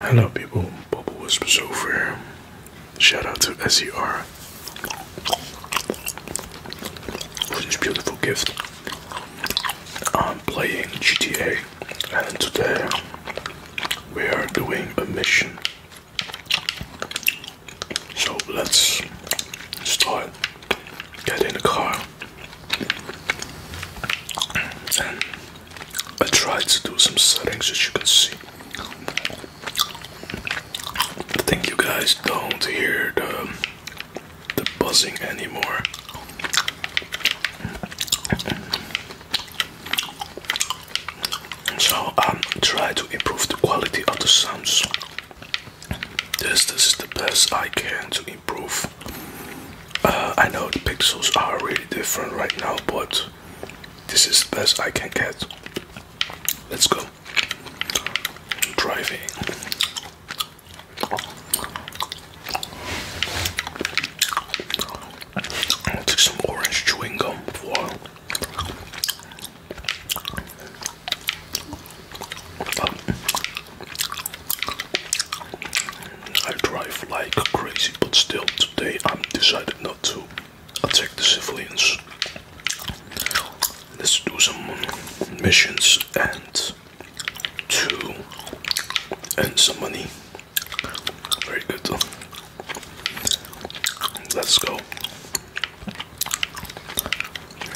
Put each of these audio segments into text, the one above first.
Hello people, Bubble Whispers over here. Shout out to SER for this beautiful gift. I'm playing GTA and today we are doing a mission. So let's start. Get in the car I tried to do some settings as you can see. I think you guys don't hear the um, the buzzing anymore. So I'm um, trying to improve the quality of the sounds. This this is the best I can to improve uh, I know the pixels are really different right now, but this is the best I can get. Let's go. Driving. i some orange chewing gum for a while. I drive like crazy, but still today I'm decided not to attack the civilians. Let's do some missions and to earn some money. Very good. Let's go.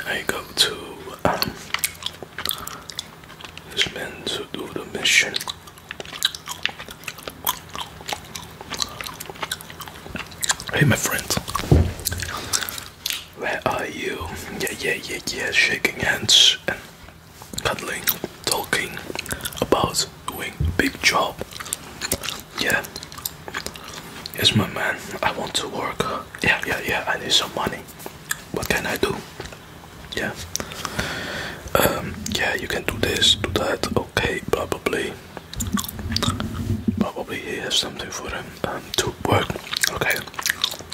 I go to um, this man to do the mission. Hey, my friends. Where are you? Yeah, yeah, yeah, yeah. Shaking hands and cuddling, talking about doing big job. Yeah. Yes, my man. I want to work. Yeah, yeah, yeah. I need some money. What can I do? yeah um, yeah you can do this do that okay probably probably he has something for him um, to work okay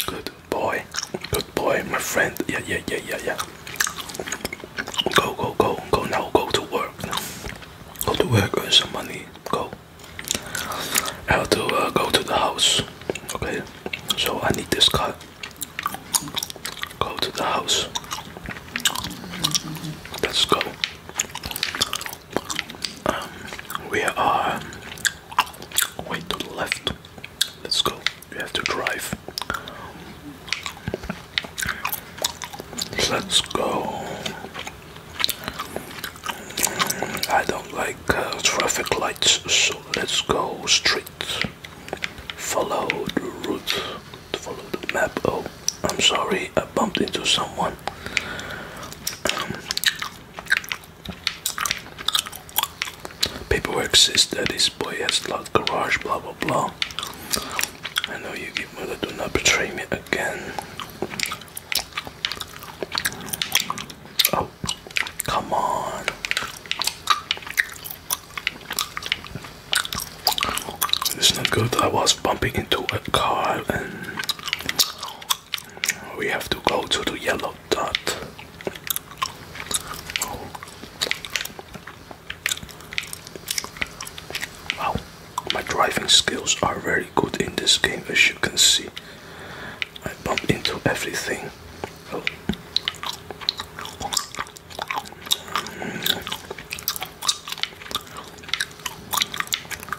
good boy good boy my friend yeah yeah yeah yeah yeah go go go go now go to work go to work and some money go I have to uh, go to the house okay so I need this car Go to the house. Let's go. Um, we are way to the left. Let's go. We have to drive. Let's go. I don't like uh, traffic lights, so let's go straight. Follow the route. Follow the map. Oh, I'm sorry, I bumped into someone. paperwork sister. this boy has locked garage, blah blah blah. I know you mother, do not betray me again. Oh, come on. It's not good. I was bumping into a car and we have to go to the yellow dot. Wow, my driving skills are very good in this game as you can see. I bump into everything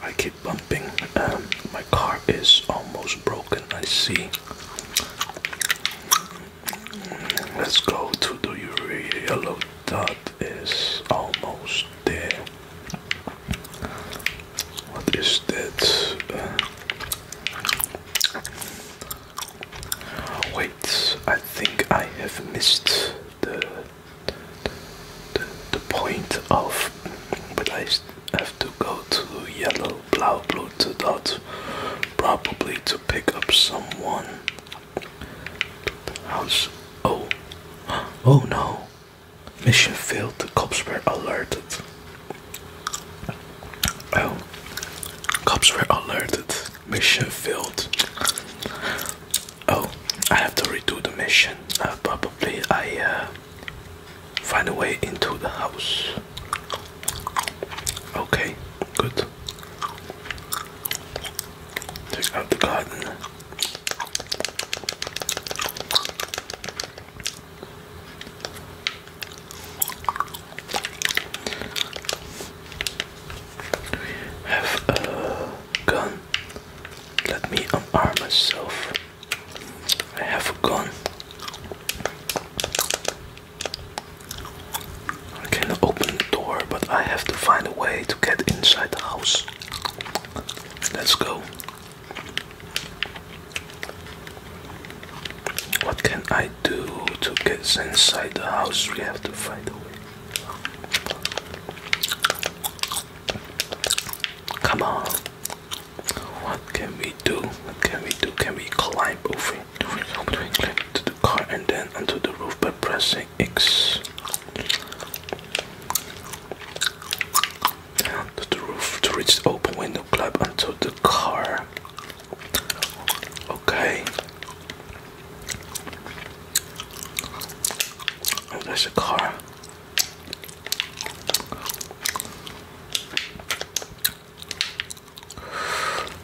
I keep bumping. Um, my car is almost broken. I see. Let's go to the yellow dot. that is almost there. What is that? Uh, Wait, I think I have missed the the, the point of, but I have to go to yellow, blue, blue to dot, probably to pick up someone. House. Oh, oh no. Mission failed, the cops were alerted. Oh, cops were alerted. Mission failed. Oh, I have to redo the mission. Uh, probably I uh, find a way into the house. Okay, good. Take out the garden. Have a gun. Let me unarm myself. I have a gun. I can open the door, but I have to find a way to get inside the house. Let's go. What can I do to get inside the house? We have to find a way. Come on. What can we do? What can we do? Can we climb over to the car and then onto the roof by pressing X? to the roof to reach the open window club onto the car. Okay. Oh, there's a car.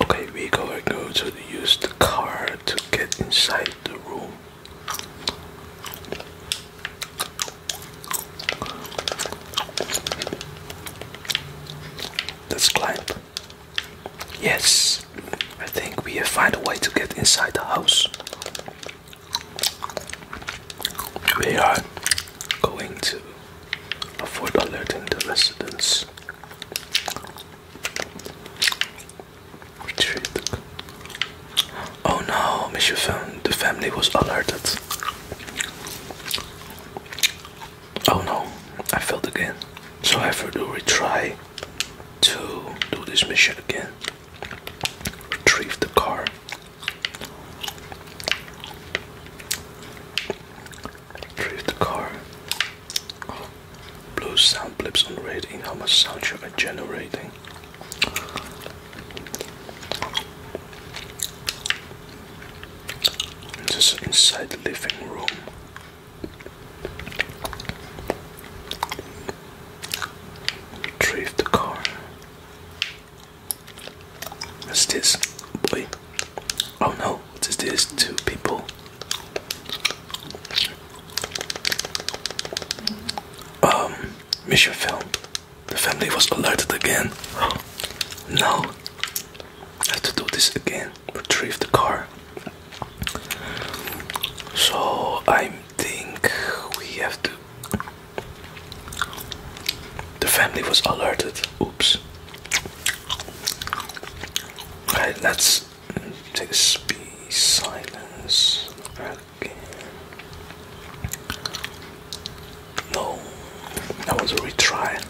Okay, we are going to use the car to get inside the room. Let's Yes, I think we have found a way to get inside the house. We are going to avoid alerting the residents. Retreat. Oh no, Monsieur Fun, the family was alerted. Oh no, I failed again. So I have to retry to do this mission again. Retrieve the car. Retrieve the car. Blue sound on rating. How much generating? Oh, this is inside the living room. Retrieve the car. What's this? Boy. Oh no, what is this? Two people. Um, mission failed. The family was alerted again. Now, I have to do this again. Retrieve the car. So, I am think we have to. The family was alerted. Oops. Alright, let's take a space. silence. No, that was a retry.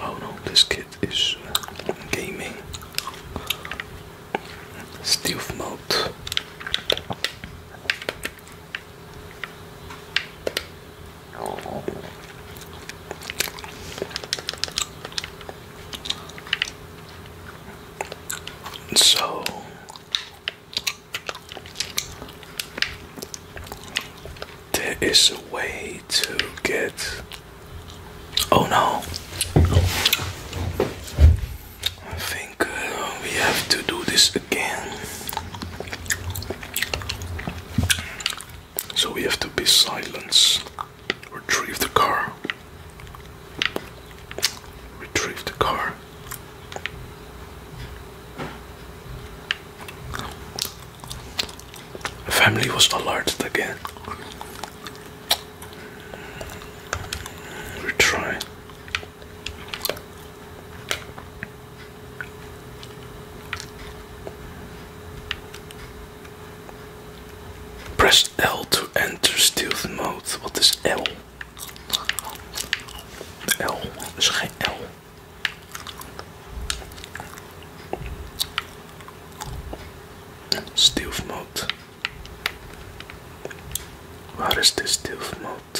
Oh no, this kid is uh, gaming. Stealth mode. So there is a way to get oh no I think uh, we have to do this again. So we have to be silent. Retrieve the car. Retrieve the car. family was alerted again. Retry. Press L to enter stealth mode. What is L? L is geen L. Stealth mode. What is this stealth mode? out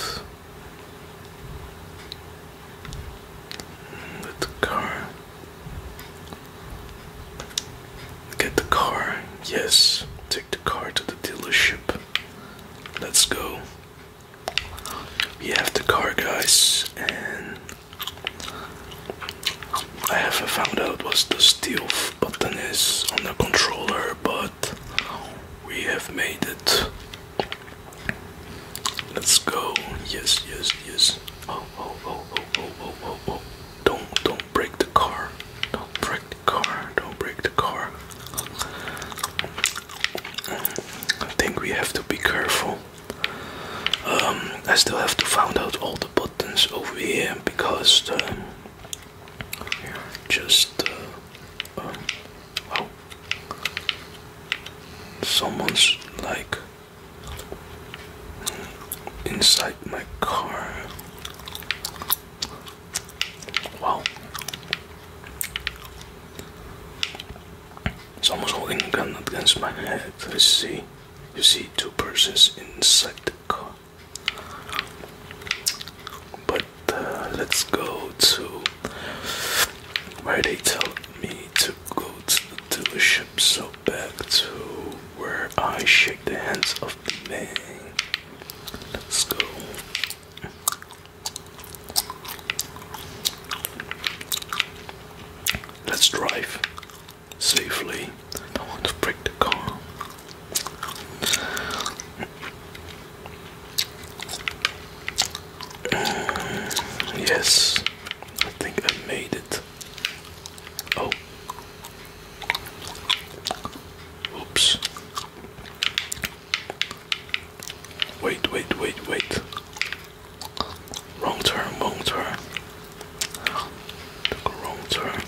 the car. Get the car. Yes, take the car to the dealership. Let's go. We have the car, guys, and I haven't found out what the steel button is on the controller, but we have made it. Let's go. Yes, yes, yes. Oh, oh, oh, oh, oh, oh, oh, oh. Don't, don't break the car. Don't break the car. Don't break the car. I think we have to be careful. Um, I still have to find out all the buttons over here because the, um, just uh, um, Someone's like inside my car. Wow. almost holding a gun against my head. I see. You see two persons inside the car. But let's go to where they tell me to go to the dealership. So back to where I shake the hands of the man. Let's go. Let's drive safely. I want to break the car yes, I think I made it. Oh, oops. Wait, wait, wait, wait. Wrong turn, wrong turn. wrong turn.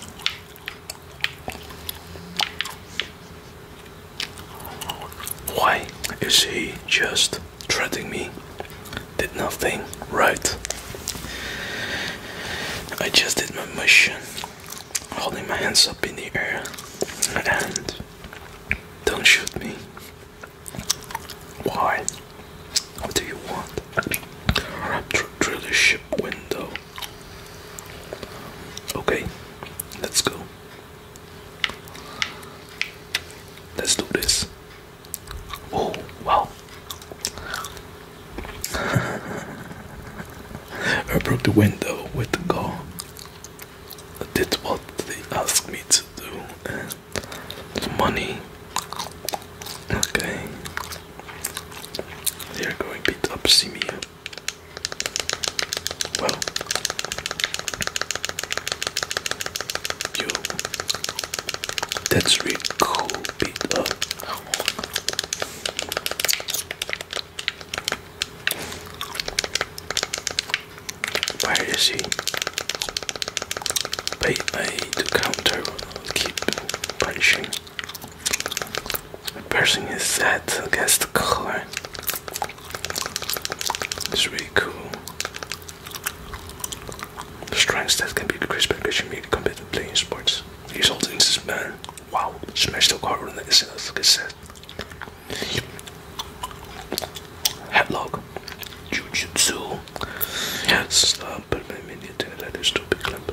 Why is he just threatening me? Did nothing, right? I just did my mission, holding my hands up in the air, and don't shoot me. Why? What do you want? Through the ship window. Okay, let's go. Let's do this. Oh, wow. I broke the window with the goal. I did what they asked me to do and money. Okay. They're going to beat up Simeon. Well, yo, that's really cool beat up. Where is he? Wait, I need counter. Keep punishing. Person is set against the color. It's really cool. The strength stat can be increased by pitching melee competitively in sports. He's also in this man. Wow, smash the card on the SS set. Headlock. Jujutsu. Yes, uh, put my minion in that stupid clump.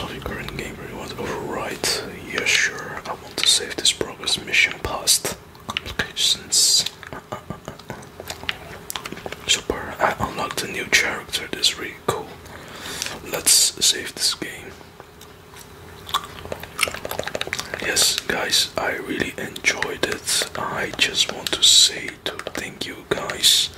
Loving current game rewards override. Yeah, sure. I want to save this progress mission past complications. Super. I unlocked a new character. That's really cool. Let's save this game. Yes, guys, I really enjoyed it. I just want to say to thank you guys